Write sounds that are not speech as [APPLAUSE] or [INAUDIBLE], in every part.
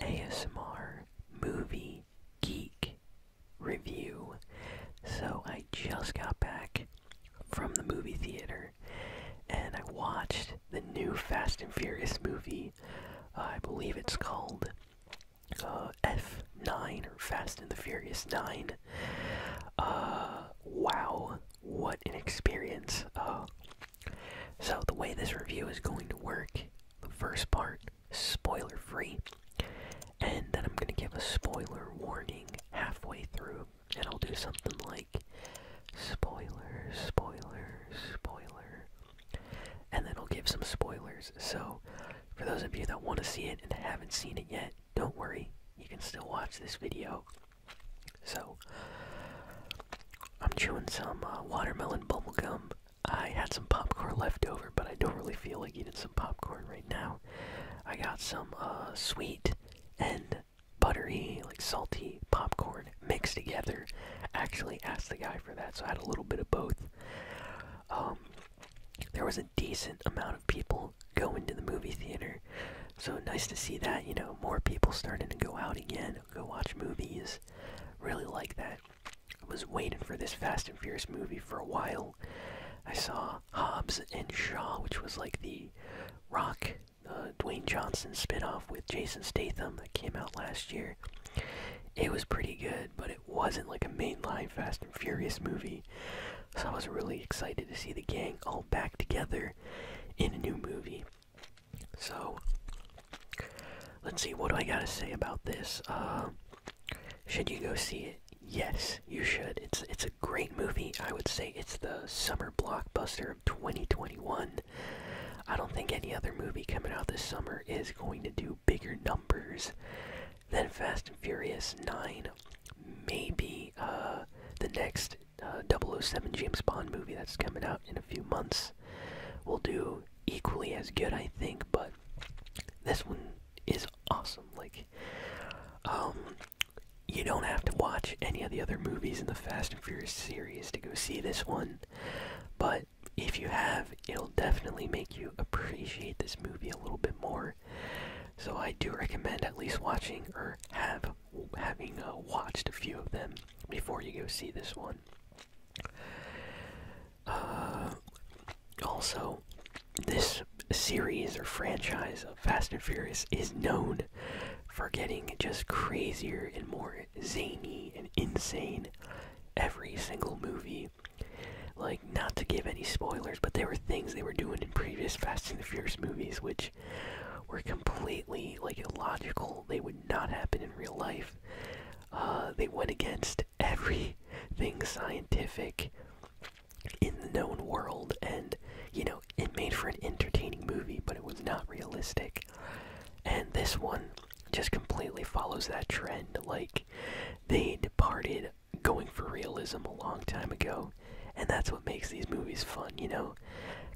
ASMR Movie Geek Review. So I just got back from the movie theater and I watched the new Fast and Furious movie. I believe it's called uh, F9 or Fast and the Furious 9. Uh, wow, what an experience. Uh, so, the way this review is going to work the first part, spoiler free, and then I'm going to give a spoiler warning halfway through, and I'll do something like spoiler, spoiler, spoiler, and then I'll give some spoilers. So, for those of you that want to see it and haven't seen it yet, don't worry, you can still watch this video. So, I'm chewing some uh, watermelon bubblegum. I had some popcorn left over, but I don't really feel like eating some popcorn right now. I got some uh, sweet and buttery, like salty popcorn mixed together. Actually, asked the guy for that, so I had a little bit of both. Um, there was a decent amount of people going to the movie theater, so nice to see that, you know, more people starting to go out again, go watch movies. Really like that. I was waiting for this Fast and Furious movie for a while. I saw Hobbs and Shaw, which was like the Rock, uh, Dwayne Johnson spinoff with Jason Statham that came out last year. It was pretty good, but it wasn't like a mainline Fast and Furious movie. So I was really excited to see the gang all back together in a new movie. So, let's see, what do I gotta say about this? Uh, should you go see it? Yes, you should. It's it's a great movie. I would say it's the summer blockbuster of 2021. I don't think any other movie coming out this summer is going to do bigger numbers than Fast and Furious 9. Maybe uh, the next uh, 007 James Bond movie that's coming out in a few months will do equally as good, I think, but this one is awesome. Like, um, you don't have to watch any of the other movies in the Fast and Furious series to go see this one, but if you have, it'll definitely make you appreciate this movie a little bit more. So I do recommend at least watching or have having uh, watched a few of them before you go see this one. Uh, also, this series or franchise of Fast and Furious is known for getting just crazier and more zany and insane every single movie. Like, not to give any spoilers, but there were things they were doing in previous Fast and the Furious movies which were completely illogical. They would not happen in real life. Uh, they went against everything scientific in the known world, and you know it made for an entertaining movie, but it was not realistic. And this one just completely follows that trend. Like they departed going for realism a long time ago, and that's what makes these movies fun. You know,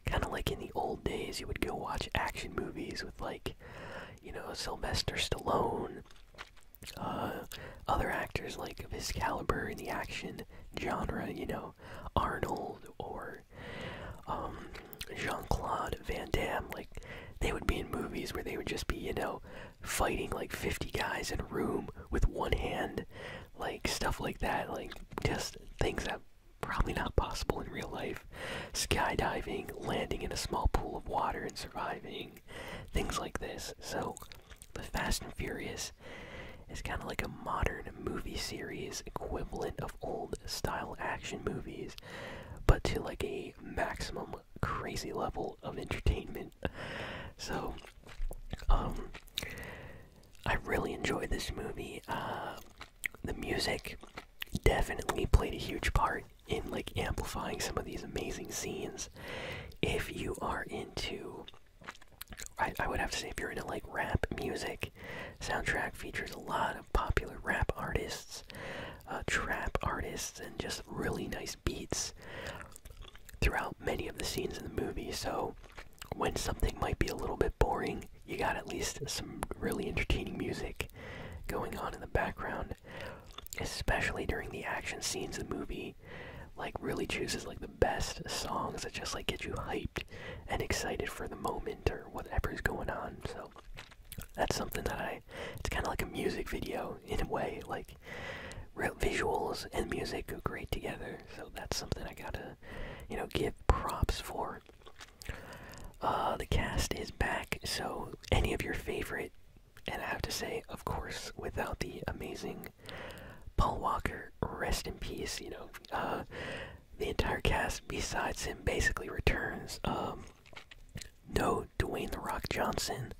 Kind of like in the old days, you would go watch action movies with, like, you know, Sylvester Stallone, uh, other actors like of his caliber in the action genre, you know, Arnold or um, Jean Claude Van Damme. Like, they would be in movies where they would just be, you know, fighting like 50 guys in a room with one hand, like stuff like that, like just things that probably not possible in real life. Skydiving, landing in a small pool of water and surviving, things like this. So, The Fast and Furious is kind of like a modern movie series equivalent of old style action movies, but to like a maximum crazy level of entertainment. So, um, I really enjoyed this movie. Uh, the music definitely played a huge part in like amplifying some of these amazing scenes. If you are into, I, would have to say, if you're into like rap music, soundtrack features a lot of popular rap artists, uh, trap artists, and just really nice beats throughout many of the scenes in the movie. So when something might be a little bit boring, you got at least some really entertaining music going on in the background, especially during the action scenes of the movie. Like really chooses like the best songs that just like get you hyped and excited for the moment or whatever's going on. So that's something that I it's kind of like a music video in a way like real visuals and music go great together so that's something I gotta you know, give props for. Uh, the cast is back, so any of your favorite, and I have to say, of course, without the amazing Paul Walker, rest in peace, you know, uh, the entire cast besides him basically returns. Um, no Dwayne The Rock Johnson.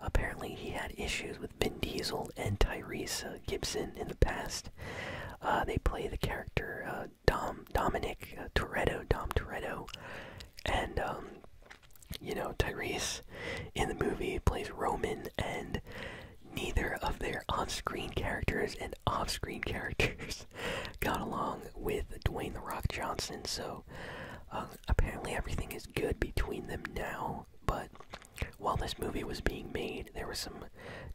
Apparently, he had issues with Vin Diesel and Tyrese uh, Gibson in the past. Uh, they play the character uh, Dom Dominic uh, Toretto, Dom Toretto, and um, you know Tyrese in the movie plays Roman, and neither of their on-screen characters and off-screen [LAUGHS] characters got along with Dwayne the Rock Johnson. So uh, apparently everything is good between them now, but while this movie was being made, there was some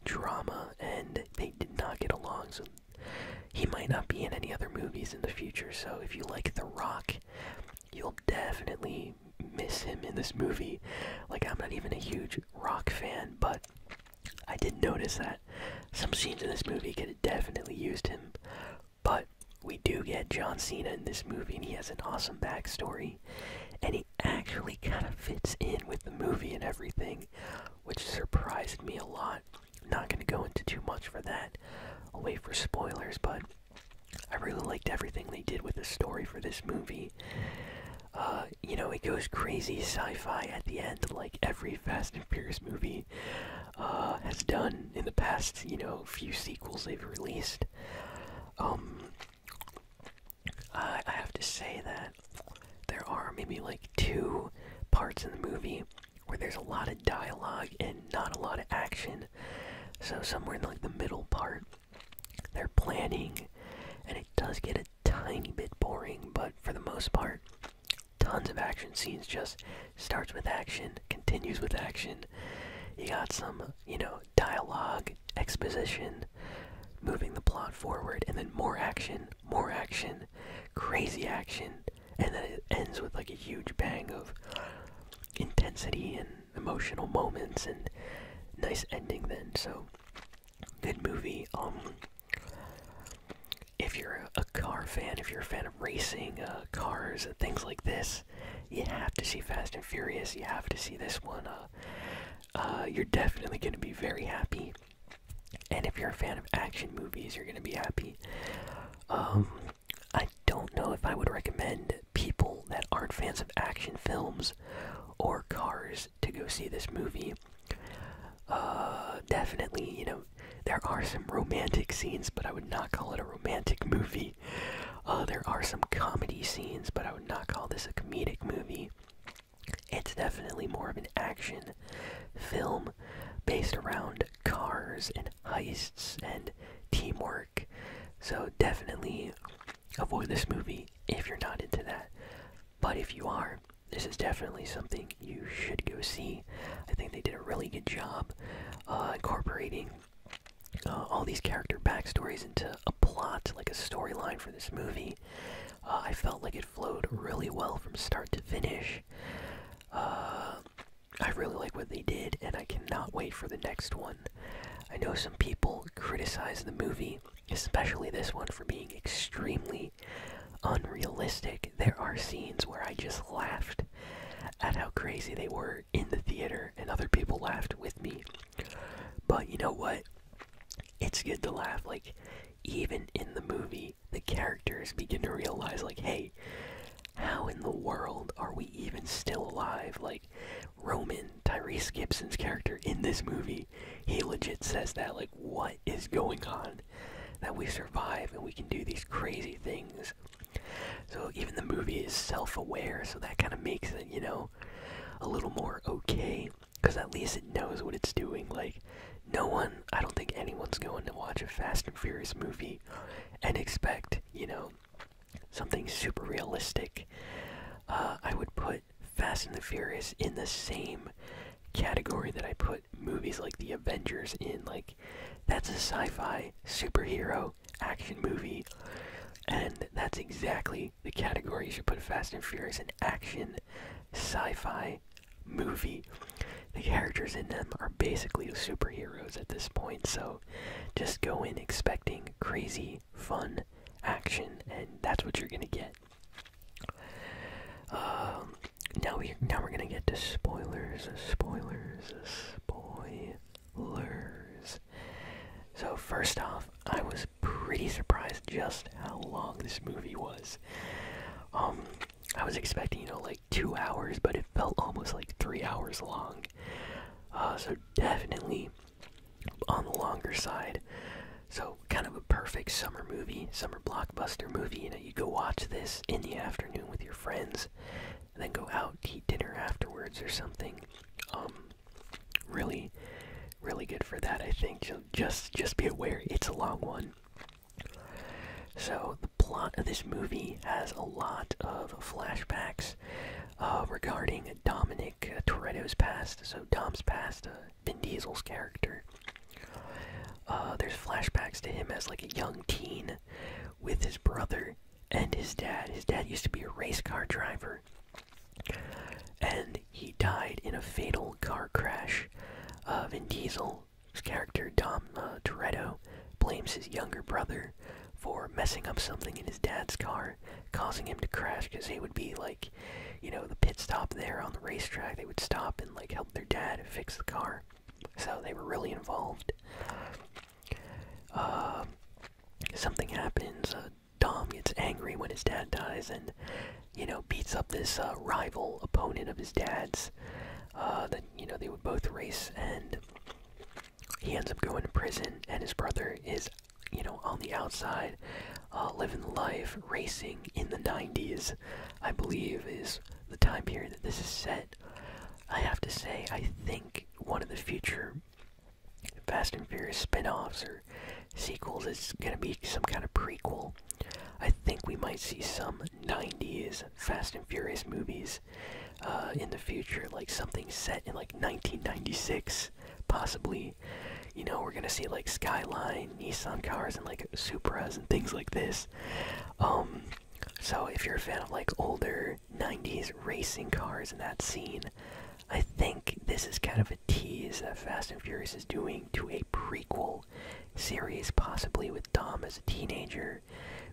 drama, and they did not get along. So he might not be in any other movies in the future. So if you like The Rock, you'll definitely miss him in this movie. Like I'm not even a huge Rock fan, but I did notice that some scenes in this movie could have definitely used him. But we do get John Cena in this movie, and he has an awesome backstory and he actually kind of fits in with the movie and everything, which surprised me a lot. Not going to go into too much for that. away for spoilers, but I really liked everything they did with the story for this movie. Uh, you know, it goes crazy sci-fi at the end, like every Fast and Furious movie uh, has done in the past, you know, few sequels they've released. Um, uh, I, have to say that there are maybe like two parts in the movie where there's a lot of dialogue and not a lot of action. So somewhere in like the middle part, they're planning, and it does get a tiny bit boring. But for the most part, tons of action scenes. Just starts with action, continues with action. You got some, you know, dialogue, exposition, moving the plot forward, and then more action, more action, crazy action, and then it ends with like a huge bang of intensity and emotional moments and nice ending then. So good movie. Um if you're a car fan, if you're a fan of racing, uh, cars and things like this, you have to see Fast and Furious. You have to see this one. Uh, uh, you're definitely going to be very happy. And if you're a fan of action movies, you're going to be happy. Um, I don't know if I would recommend people that aren't fans of action films or cars to go see this movie. Uh, definitely, you know, there are some romantic scenes, but I would not call it a romantic movie. Uh, there are some comedy scenes, but I would not call this a comedic movie. It's definitely more of an action film based around cars and heists and teamwork. So definitely avoid this movie if you're not into that. But if you are, this is definitely something you should go see. I think they did a really good job uh, incorporating uh, all these character backstories into plot, like a storyline for this movie. Uh, I felt like it flowed really well from start to finish. Uh, I really like what they did, and I cannot wait for the next one. I know some people criticize the movie, especially this one, for being extremely unrealistic. There are scenes where I just laughed at how crazy they were in the theater, and other people laughed with me. But you know what? It's good to laugh. Like, even in the movie, the characters begin to realize, like, hey, how in the world are we even still alive? Like, Roman, Tyrese Gibson's character in this movie, he legit says that, like, what is going on? That we survive and we can do these crazy things. So, even the movie is self aware, so that kind of makes it, you know, a little more okay, because at least it knows what it's doing. Like, no one, I don't think anyone's going to watch a Fast and Furious movie and expect, you know, something super realistic. Uh, I would put Fast and the Furious in the same category that I put movies like The Avengers in. Like, that's a sci fi superhero action movie, and that's exactly the category you should put Fast and Furious in action sci-fi movie. The characters in them are basically superheroes at this point, so just go in expecting crazy fun action, and that's what you're gonna get. Um, now we now we're gonna get to spoilers, spoilers, spoilers. So, first off, I was pretty surprised just how long this movie was. Um, I was expecting, you know, like two hours, but it felt almost like three hours long. Uh, so, definitely on the longer side. So, kind of a perfect summer movie, summer blockbuster movie. You know, you go watch this in the afternoon with your friends, and then go out eat dinner afterwards or something. Um, really really good for that i think so just just be aware it's a long one so the plot of this movie has a lot of flashbacks uh, regarding dominic uh, toretto's past so dom's past uh, vin diesel's character uh, there's flashbacks to him as like a young teen with his brother and his dad his dad used to be a race car driver and he died in a fatal car crash. Uh, Vin Diesel's character Dom uh, Toretto blames his younger brother for messing up something in his dad's car, causing him to crash. Because they would be like, you know, the pit stop there on the racetrack. They would stop and like help their dad fix the car. So they were really involved. Uh, something happens. Uh, Tom gets angry when his dad dies and, you know, beats up this uh, rival opponent of his dad's uh, that, you know, they would both race. And he ends up going to prison, and his brother is, you know, on the outside, uh, living life, racing in the 90s, I believe, is the time period that this is set. I have to say, I think one of the future Fast and Furious spin-offs or sequels. It's gonna be some kind of prequel. I think we might see some '90s Fast and Furious movies uh, in the future, like something set in like 1996, possibly. You know, we're gonna see like Skyline, Nissan cars, and like Supras and things like this. Um, so if you're a fan of like older '90s racing cars and that scene, I think this is kind of a tease that Fast and Furious is doing to a prequel series, possibly with Dom as a teenager,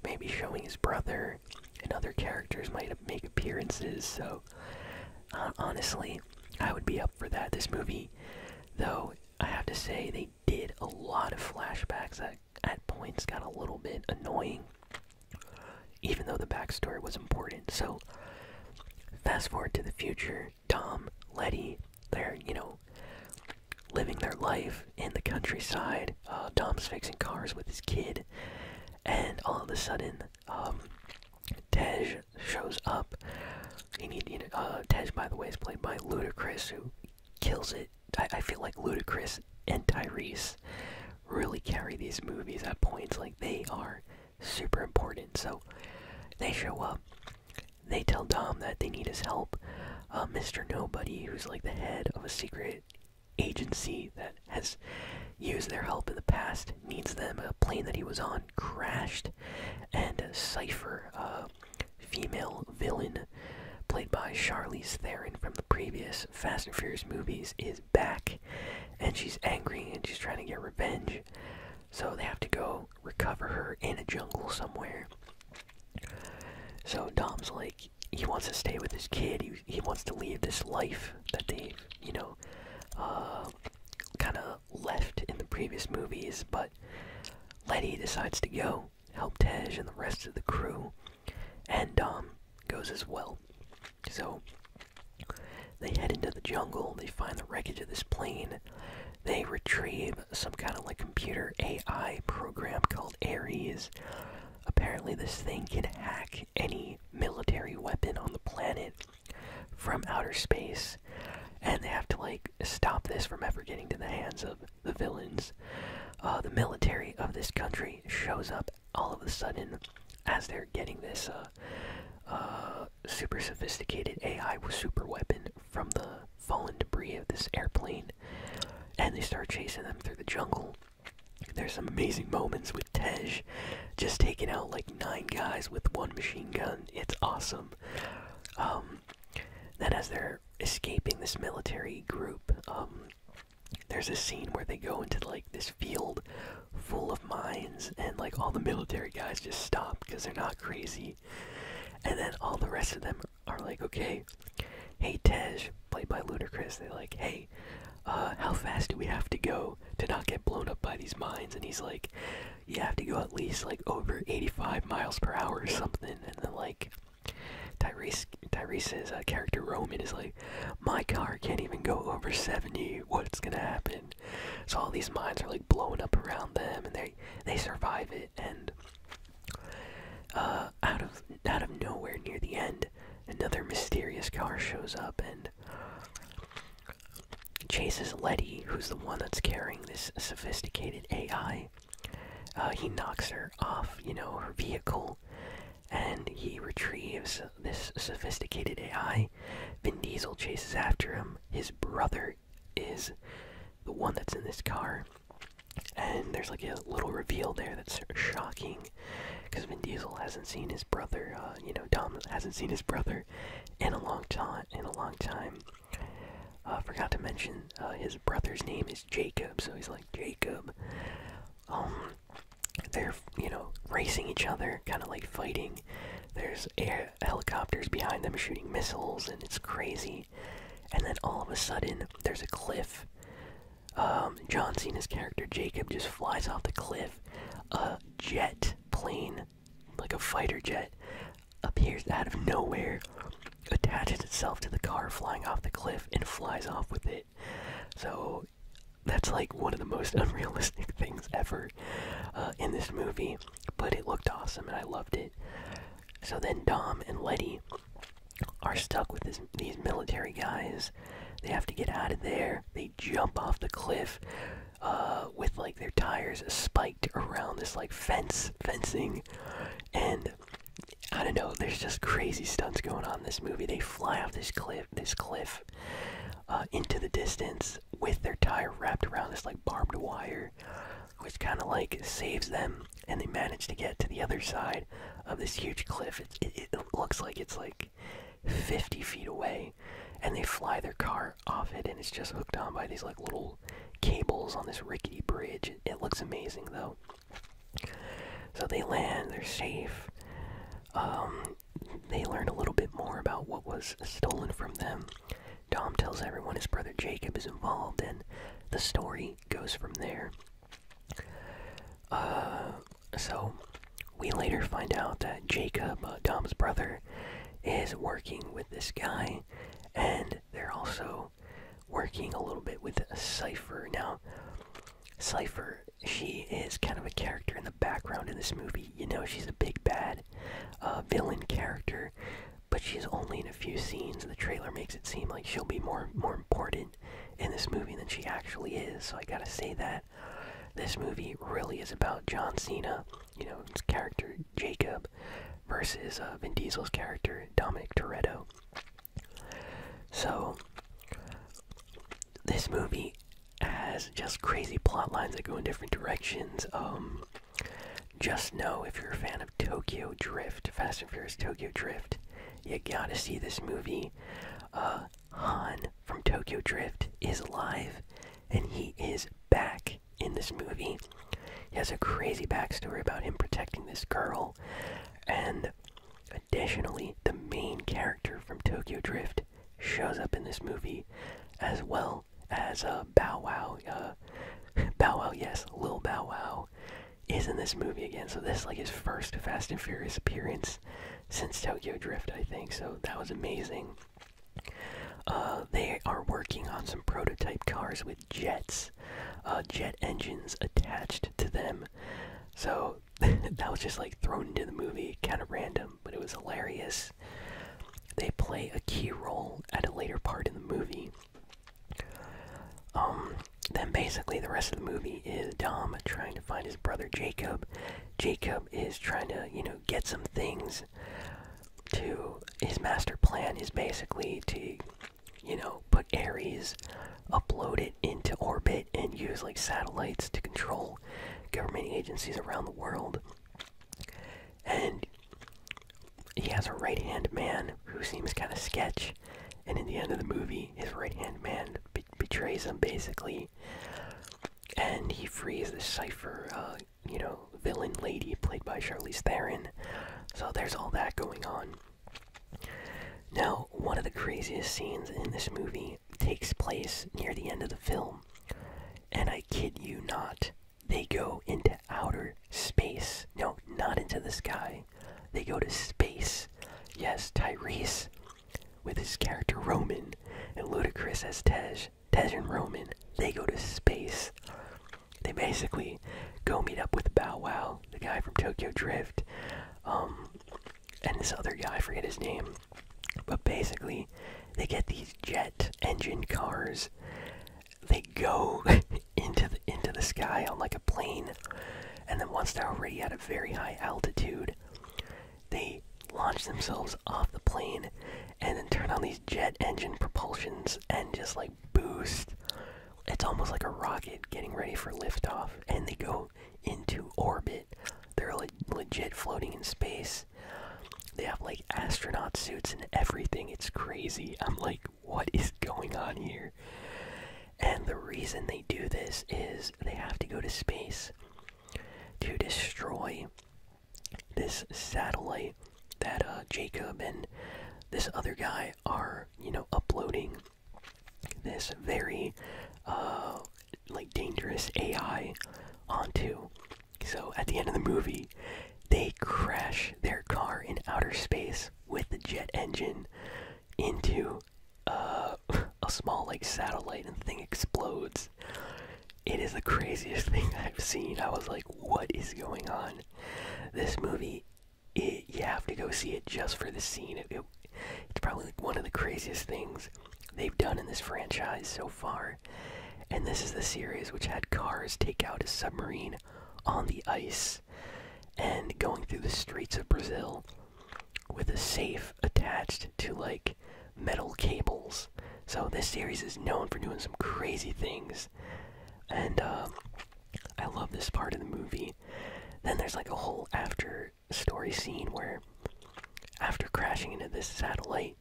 maybe showing his brother, and other characters might make appearances. So, uh, honestly, I would be up for that. This movie, though, I have to say, they did a lot of flashbacks that at points got a little bit annoying even though the backstory was important. So, fast forward to the future, Tom, Letty, they're, you know, living their life in the countryside. Uh, Tom's fixing cars with his kid, and all of a sudden, um, Tej shows up. He need, you know, uh, Tej, by the way, is played by Ludacris, who kills it. I feel like Ludacris and Tyrese really carry these movies at points. Like they are super important. So they show up. They tell Dom that they need his help. Uh, Mr. Nobody, who's like the head of a secret agency that has used their help in the past, needs them. A plane that he was on crashed, and Cypher, uh, female villain played by Charlize Theron from the previous Fast and Furious movies, is back and she's angry and she's trying to get revenge. So they have to go recover her in a jungle somewhere. So Dom's like, he wants to stay with his kid. He, he wants to leave this life that they've, you know, uh, kind of left in the previous movies. But Letty decides to go help Tej and the rest of the crew. And Dom goes as well. So they head into the jungle, they find the wreckage of this plane, they retrieve some kind of like computer AI program called Ares. Apparently, this thing can hack any military weapon on the planet from outer space, and they have to like stop this from ever getting to the hands of the villains. Uh, the military of this country shows up all of a sudden, as they're getting this uh, uh, super sophisticated AI super weapon from the fallen debris of this airplane, and they start chasing them through the jungle. There's some amazing moments with Tej just taking out like nine guys with one machine gun. It's awesome. Um, then, as they're escaping this military group, um, there's a scene where they go into like this field full of mines and like all the military guys just stop because they're not crazy and then all the rest of them are like okay hey tej played by ludacris they're like hey uh, how fast do we have to go to not get blown up by these mines and he's like you have to go at least like over 85 miles per hour or something and then like Tyrese, Tyrese's uh, character Roman is like, my car can't even go over 70. What's gonna happen? So all these mines are like blowing up around them, and they they survive it. And uh, out of out of nowhere near the end, another mysterious car shows up and chases Letty, who's the one that's carrying this sophisticated AI. Uh, he knocks her off, you know, her vehicle, and he retrieves this sophisticated AI. Vin Diesel chases after him. His brother is the one that's in this car. And there's like a little reveal there that's shocking because Vin Diesel hasn't seen his brother, uh, you know, Tom hasn't seen his brother in a long time. In a long time, uh, forgot to mention uh, his brother's name is Jacob, so he's like Jacob. Um, they're you know racing each other, kind of like fighting. There's air helicopters behind them shooting missiles, and it's crazy. And then all of a sudden, there's a cliff. Um, John Cena's character Jacob just flies off the cliff. A jet plane, like a fighter jet, appears out of nowhere, attaches itself to the car flying off the cliff, and flies off with it so that's like one of the most [LAUGHS] unrealistic things ever uh, in this movie, but it looked awesome and I loved it. So then Dom and Letty are stuck with these military guys. They have to get out of there. They jump off the cliff uh, with like their tires spiked around this like fence fencing, and I don't know. There's just crazy stunts going on in this movie. They fly off this cliff this cliff uh, into the distance with their tire wrapped around this like barbed wire, which kind of like saves them. And they manage to get to the other side of this huge cliff. It, looks like it's like 50 feet away, and they fly their car off it, and it's just hooked on by these like little cables on this rickety bridge. it looks amazing though. So they land, they're safe. Um, they learn a little bit more about what was stolen from them. Tom tells everyone his brother Jacob is involved, and the story goes from there. Uh, so, we later find out that Jacob, Tom's uh, brother, is working with this guy, and they're also working a little bit with Cypher. Now, Cypher she is kind of a character in the background in this movie. You know, she's a big bad uh, villain character, but she's only in a few scenes. The trailer makes it seem like she'll be more more important in this movie than she actually is. So I gotta say that this movie really is about John Cena. You know, his character Jacob versus uh, Vin Diesel's character Dominic Toretto. So, this movie has just crazy plot lines that go in different directions. Um, just know if you're a fan of Tokyo Drift, Fast and Furious Tokyo Drift, you gotta see this movie. Uh, Han from Tokyo Drift is alive, and he is back in this movie. He has a crazy backstory about him protecting this girl, and Additionally, the main character from Tokyo Drift shows up in this movie, as well as uh, Bow Wow. Uh, [LAUGHS] Bow Wow, yes, Lil Bow Wow is in this movie again. So this is like his first Fast and Furious appearance since Tokyo Drift, I think. So that was amazing. Uh, they are working on some prototype cars with jets, uh, jet engines attached to them. So [LAUGHS] that was just like thrown into the movie, kind of random, but it was hilarious. They play a key role at a later part in the movie. Um, then basically the rest of the movie is Dom trying to find his brother Jacob. Jacob is trying to, you know, get some things to his master plan is basically to, you know, put Ares upload it into orbit and use like satellites to control government agencies around the world. And he has a right hand man who seems kind of sketch. And in the end of the movie, his right hand man betrays him basically. And he frees the Cypher, uh, you know, villain lady played by Charlize Theron. So there's all that going on. Now, one of the craziest scenes in this movie takes place near the end of the film. And I kid you not, they go into outer space. No, not into the sky. They go to space. Yes, Tyrese with his character Roman and Ludacris as Tej. Tej and Roman, they go to space. They basically go meet up with Bow Wow, the guy from Tokyo Drift. Um, and this other guy, I forget his name. But basically, they get these jet engine cars. They go [LAUGHS] into the into the sky on like a plane, and then once they're already at a very high altitude, they launch themselves off the plane, and then turn on these jet engine propulsions and just like boost. It's almost like a rocket getting ready for liftoff, and they go into orbit. They're le legit floating in space. They have like astronaut suits and everything. It's crazy. I'm like, what is going on here? And the reason they do this is they have to go to space to destroy this satellite that uh, Jacob and this other guy are, you know, uploading this very uh, like dangerous AI onto. So at the end of the movie, they crash their car in outer space with the jet engine into uh, [LAUGHS] a small like satellite, and the thing explodes. It is the craziest [LAUGHS] thing I've seen. I was like, "What is going on?" This movie it, you have to go see it just for the scene. it's probably one of the craziest things they've done in this franchise so far. And this is the series which had cars take out a submarine on the ice and going through the streets of Brazil with a safe attached to like metal cables. So this series is known for doing some crazy things. And um, I love this part of the movie. Then there's like a whole after story scene where after crashing into this satellite,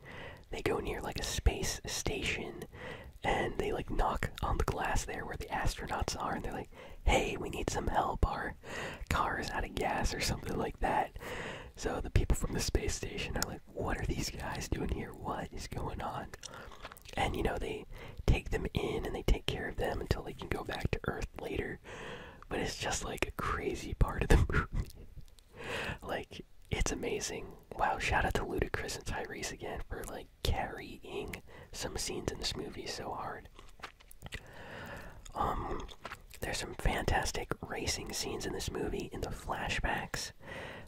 they go near like a space station and they like knock on the glass there where the astronauts are and they're like, hey, we need some help. Our car is out of gas or something like that. So the people from the space station are like, what are these guys doing here? What is going on? And you know, they take them in and they take care of them until they can go back to Earth later. But it's just like a crazy part of the [LAUGHS] movie. like, it's amazing. Wow, shout out to Ludacris and Tyrese again for like carrying some scenes in this movie so hard. Um, there's some fantastic racing scenes in this movie in the flashbacks.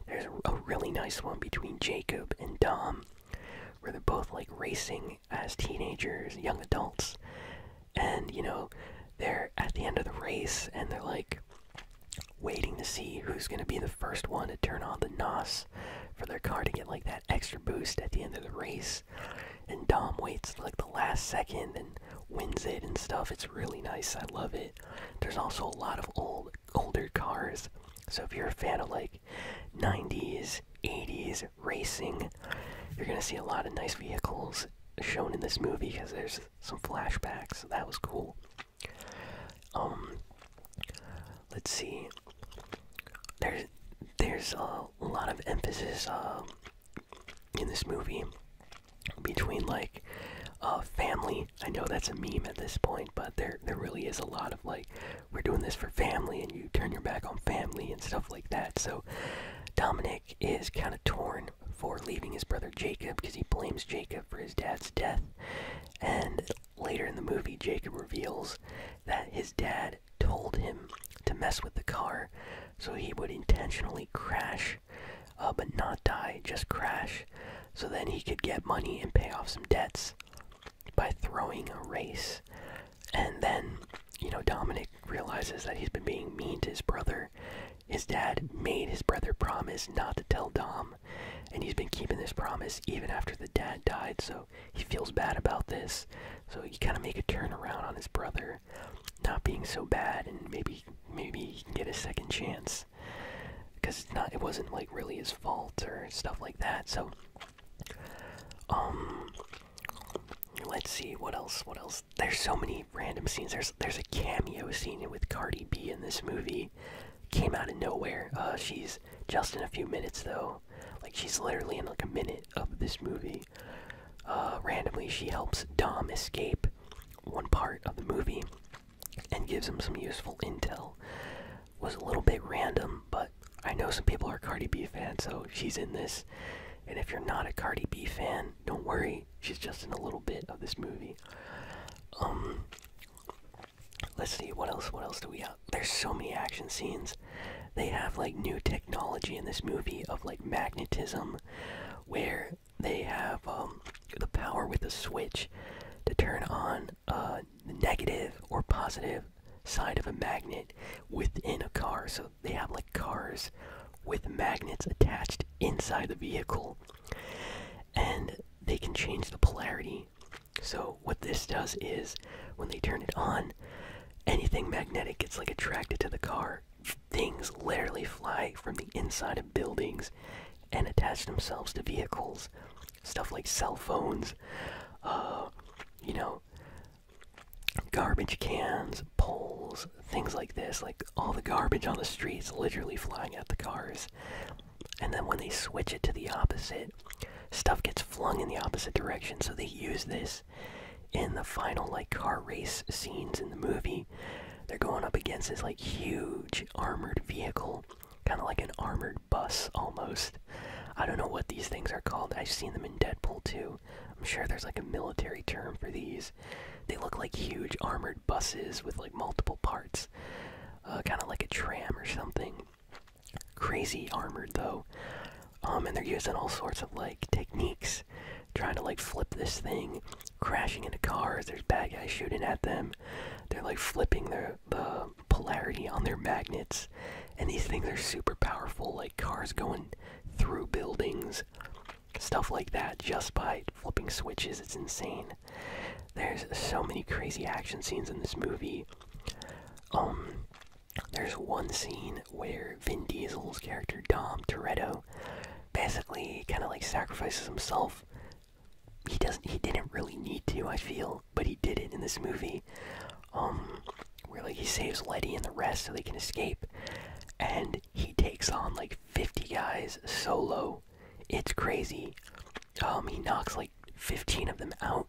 There's a really nice one between Jacob and Dom where they're both like racing as teenagers, young adults, and you know, they're at the end of the race and they're like waiting to see who's going to be the first one to turn on the NOS for their car to get like that extra boost at the end of the race. And Dom waits like the last second and wins it and stuff. It's really nice. I love it. There's also a lot of old older cars. So if you're a fan of like 90s, 80s racing. You're gonna see a lot of nice vehicles shown in this movie because there's some flashbacks. that was cool. Um, let's see. There's there's a lot of emphasis uh, in this movie between like a uh, family. I know that's a meme at this point, but there there really is a lot of like we're doing this for family and you turn your back on family and stuff like that. So Dominic is kind of torn for leaving his brother Jacob because he blames Jacob for his dad's death. And later in the movie, Jacob reveals that his dad told him to mess with the car so he would intentionally crash but not die, just crash, so then he could get money and pay off some debts by throwing a race. And then, you know, Dominic realizes that he's been being mean to his brother. His dad made his brother promise not to tell Dom, and he's been keeping this promise even after the dad died, so he feels bad about this. So he kind of make a turnaround on his brother not being so bad, and maybe maybe he can get a second chance because not it wasn't like really his fault or stuff like that. So um let's see what else what else there's so many random scenes there's there's a cameo scene with Cardi B in this movie came out of nowhere uh, she's just in a few minutes though like she's literally in like a minute of this movie uh randomly she helps Dom escape one part of the movie and gives him some useful intel was a little bit random, but I know some people are Cardi B fans, so she's in this. And if you're not a Cardi B fan, don't worry, she's just in a little bit of this movie. Um, let's see, what else? What else do we have? There's so many action scenes. They have like new technology in this movie of like magnetism, where they have um, the power with a switch to turn on uh, negative or positive side of a magnet within a car. So they have like cars with magnets attached inside the vehicle. And they can change the polarity. So what this does is when they turn it on, anything magnetic gets like attracted to the car. Things literally fly from the inside of buildings and attach themselves to vehicles stuff like cell phones, uh, you know, garbage cans, poles, things like this. Like all the garbage on the streets literally flying at the cars. And then when they switch it to the opposite, stuff gets flung in the opposite direction. So they use this in the final like car race scenes in the movie. They're going up against this like huge armored vehicle, kind of like an armored bus almost. I don't know what these things are called. I've seen them in Deadpool too. I'm sure there's like a military term for these. They look like huge armored buses with like multiple parts, uh, kind of like a tram or something. Crazy armored though, um, and they're using all sorts of like techniques, trying to like flip this thing, crashing into cars. There's bad guys shooting at them. They're like flipping the the polarity on their magnets. And these things are super powerful, like cars going through buildings, stuff like that, just by flipping switches. It's insane. There's so many crazy action scenes in this movie. Um, there's one scene where Vin Diesel's character Dom Toretto basically kind of like sacrifices himself. He doesn't. He didn't really need to. I feel but he did it in this movie. where um, like he saves Letty and the rest so they can escape, and he takes on like 50 guys solo. It's crazy. Um, he knocks like 15 of them out,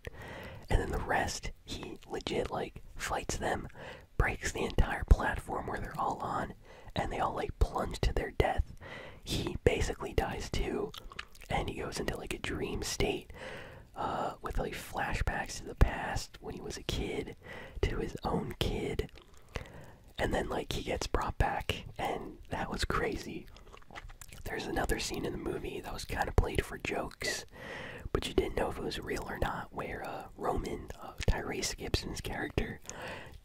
and then the rest he legit like fights them, breaks the entire platform where they're all on, and they all like plunge to their death. He basically dies too, and he goes into like a dream state uh, with like flashbacks to the past when he was a kid, to his own kid, and then like he gets brought back, and that was crazy. There's another scene in the movie that was kind of played for jokes, but you didn't know if it was real or not, where uh, Roman, uh, Tyrese Gibson's character,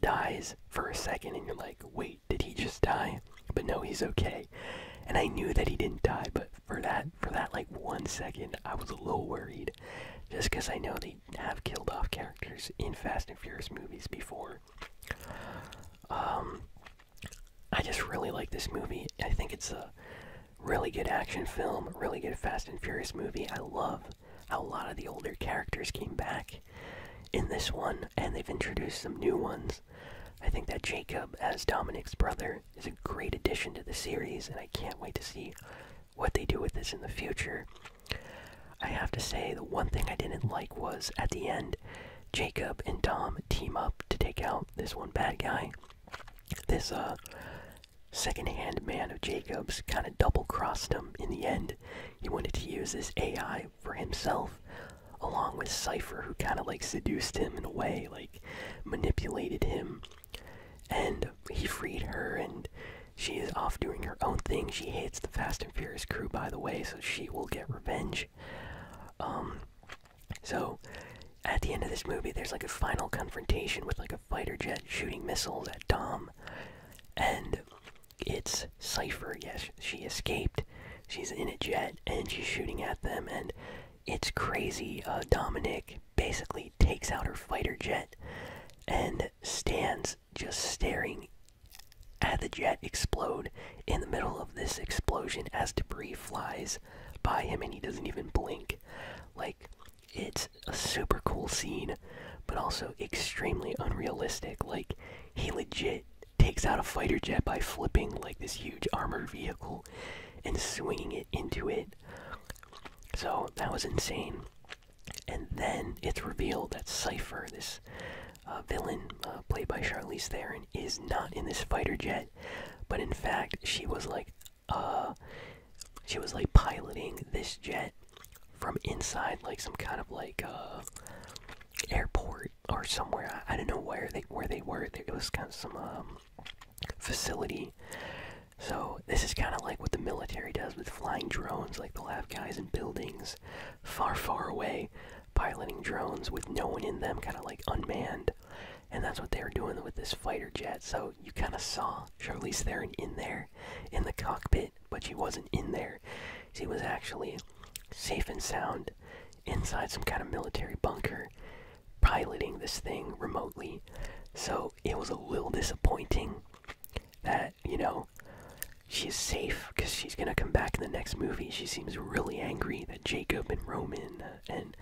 dies for a second, and you're like, wait, did he just die? But no, he's okay. And I knew that he didn't die, but for that, for that like one second, I was a little worried, just because I know they have killed off characters in Fast and Furious movies before. Um, I just really like this movie. I think it's a really good action film, really good Fast and Furious movie. I love how a lot of the older characters came back in this one, and they've introduced some new ones I think that Jacob, as Dominic's brother, is a great addition to the series, and I can't wait to see what they do with this in the future. I have to say, the one thing I didn't like was at the end, Jacob and Tom team up to take out this one bad guy. This uh, second-hand man of Jacob's kind of double-crossed him in the end. He wanted to use this AI for himself, along with Cypher, who kind of like seduced him in a way, like manipulated him. And he freed her, and she is off doing her own thing. She hates the Fast and Furious crew, by the way, so she will get revenge. Um, so at the end of this movie, there's like a final confrontation with like a fighter jet shooting missiles at Dom, and it's Cypher. Yes, she escaped she's in a jet and she's shooting at them and it's crazy uh, dominic basically takes out her fighter jet and stands just staring at the jet explode in the middle of this explosion as debris flies by him and he doesn't even blink like it's a super cool scene but also extremely unrealistic like he legit takes out a fighter jet by flipping like this huge armored vehicle and swinging it into it. So that was insane. And then it's revealed that Cypher, this uh, villain uh, played by Charlize Theron, is not in this fighter jet, but in fact, she was like, uh, she was like piloting this jet from inside, like some kind of like, uh, airport or somewhere. I, don't know where they where they were. It was kind of some um, facility. So this is kind of like what the military does with flying drones. Like they'll have guys in buildings, far far away, piloting drones with no one in them, kind of like unmanned. And that's what they were doing with this fighter jet. So you kind of saw Charlize Theron in there, in the cockpit, but she wasn't in there. She was actually safe and sound inside some kind of military bunker piloting this thing remotely. So it was a little disappointing that, you know, she's safe because she's going to come back in the next movie. She seems really angry that Jacob and Roman and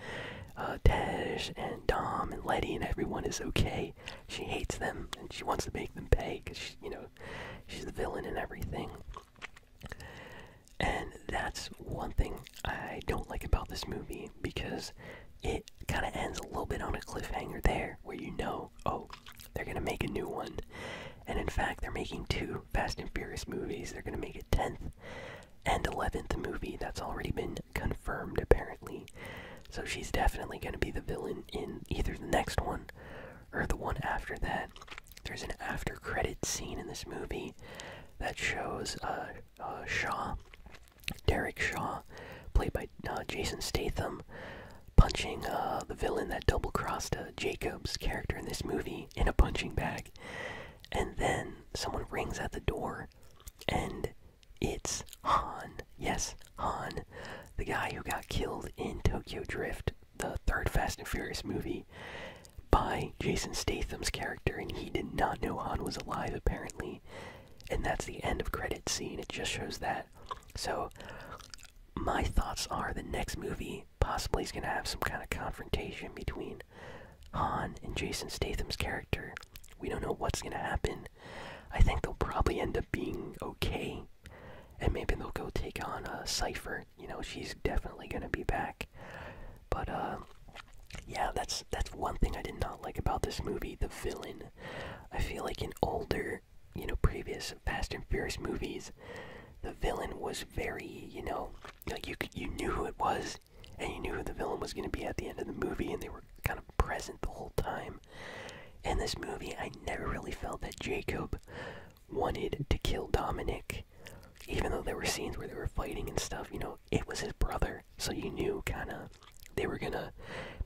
uh, Tej and Dom and Letty and everyone is okay. She hates them and she wants to make them pay because, you know, she's the villain and everything. And that's one thing I don't like about this movie because it kind of ends a little bit on a cliffhanger there where you know, oh, they're going to make a new one. And in fact, they're making two Fast and Furious movies. They're going to make a 10th and 11th movie that's already been confirmed, apparently. So she's definitely going to be the villain in either the next one or the one after that. There's an after credit scene in this movie that shows uh, uh Shaw, Derek Shaw, played by uh, Jason Statham, punching uh, the villain that double crossed Jacob's character in this movie in a punching bag. And then someone rings at the door, and it's Han. Yes, Han, the guy who got killed in Tokyo Drift the third Fast and Furious movie by Jason Statham's character, and he did not know Han was alive apparently. And that's the end of credit scene. It just shows that. So my thoughts are the next movie possibly is going to have some kind of confrontation between Han and Jason Statham's character. We don't know what's going to happen. I think they'll probably end up being okay, and maybe they'll go take on a Cipher you know, she's definitely gonna be back. But uh, yeah, that's that's one thing I did not like about this movie. The villain. I feel like in older, you know, previous Fast and Furious movies, the villain was very, you know, you you knew who it was, and you knew who the villain was gonna be at the end of the movie, and they were kind of present the whole time. In this movie, I never really felt that Jacob wanted to kill Dominic even though there were scenes where they were fighting and stuff, you know, it was his brother, so you knew kind of they were gonna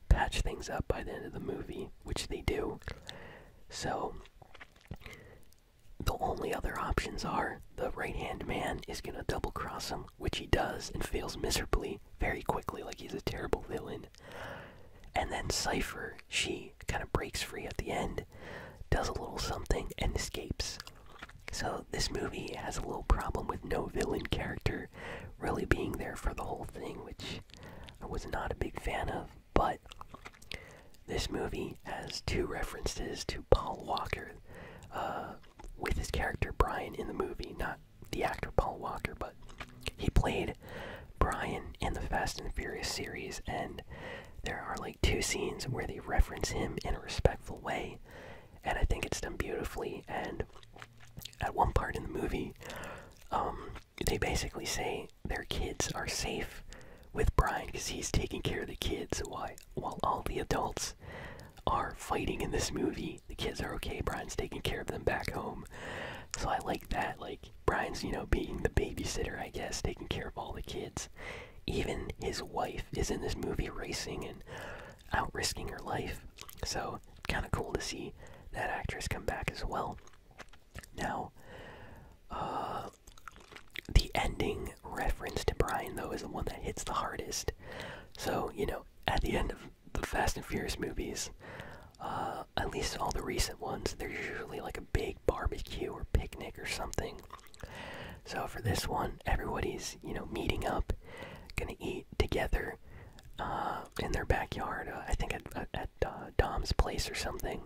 patch things up by the end of the movie, which they do. So the only other options are the right hand man is gonna double cross him, which he does and fails miserably very quickly, like he's a terrible villain. And then Cypher she kind of breaks free at the end, does a little something, and escapes. So, this movie has a little problem with no villain character really being there for the whole thing, which I was not a big fan of, but this movie has two references to Paul Walker uh, with his character Brian in the movie, not the actor Paul Walker, but he played Brian in the Fast and Furious series, and there are like two scenes where they reference him in a respectful way, and I think it's done beautifully. And at one part in the movie, um, they basically say their kids are safe with Brian because he's taking care of the kids while, while all the adults are fighting in this movie. The kids are okay, Brian's taking care of them back home. So I like that. Like, Brian's, you know, being the babysitter, I guess, taking care of all the kids. Even his wife is in this movie racing and out risking her life. So, kind of cool to see that actress come back as well. Now, uh, the ending reference to Brian, though, is the one that hits the hardest. So, you know, at the end of the Fast and Furious movies, uh, at least all the recent ones, there's usually like a big barbecue or picnic or something. So for this one, everybody's you know meeting up, gonna eat together uh, in their backyard. Uh, I think at, at, uh, Dom's place or something.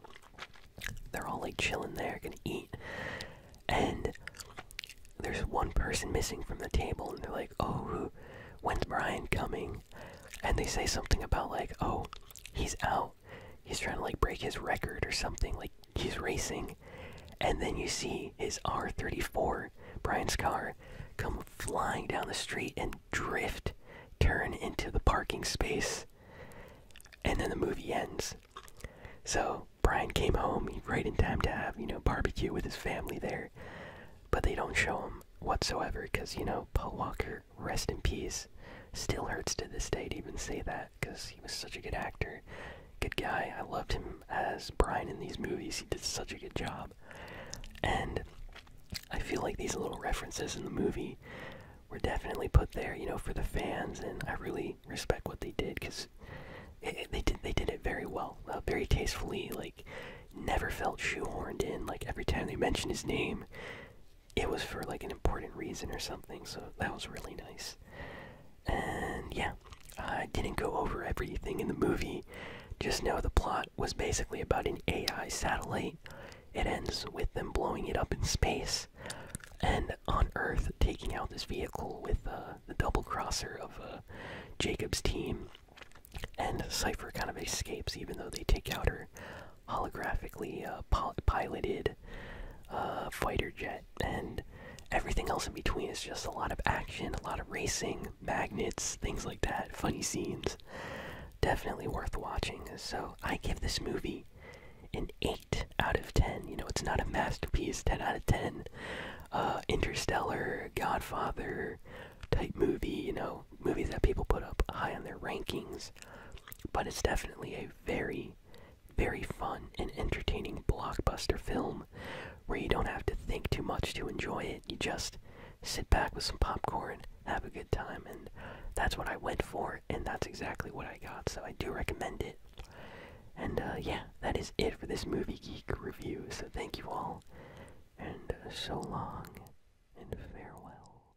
They're all like chilling there, gonna eat, and there's one person missing from the table, and they're like, "Oh, when's Brian coming?" And they say something about like, "Oh, he's out." he's trying to like break his record or something like he's racing and then you see his r34 brian's car come flying down the street and drift turn into the parking space and then the movie ends so brian came home right in time to have you know barbecue with his family there but they don't show him whatsoever because you know paul walker rest in peace. Still hurts to this day to even say that because he was such a good actor, good guy. I loved him as Brian in these movies. He did such a good job, and I feel like these little references in the movie were definitely put there, you know, for the fans. And I really respect what they did because they did they did it very well, uh, very tastefully. Like never felt shoehorned in. Like every time they mentioned his name, it was for like an important reason or something, so that was really nice. And yeah, I didn't go over everything in the movie. Just know the plot was basically about an AI satellite. It ends with them blowing it up in space and on Earth taking out this vehicle with uh, the double crosser of uh, Jacob's team. And Cypher kind of escapes even though they take out her holographically uh, piloted uh, fighter jet, and everything else in between is just a lot of action, a lot of racing, magnets, things like that, funny scenes. Definitely worth watching. So I give this movie an 8 out of 10. You know, it's not a masterpiece, 10 out of 10. Uh, Interstellar, Godfather type movie, you know, movies that people put up high on their rankings. But it's definitely a very, very fun and entertaining blockbuster film where you don't have to think too much to enjoy it. You just sit back with some popcorn, have a good time, and that's what I went for, and that's exactly what I got, so I do recommend it. And uh, yeah, that is it for this Movie Geek review, so thank you all, and uh, so long, and farewell.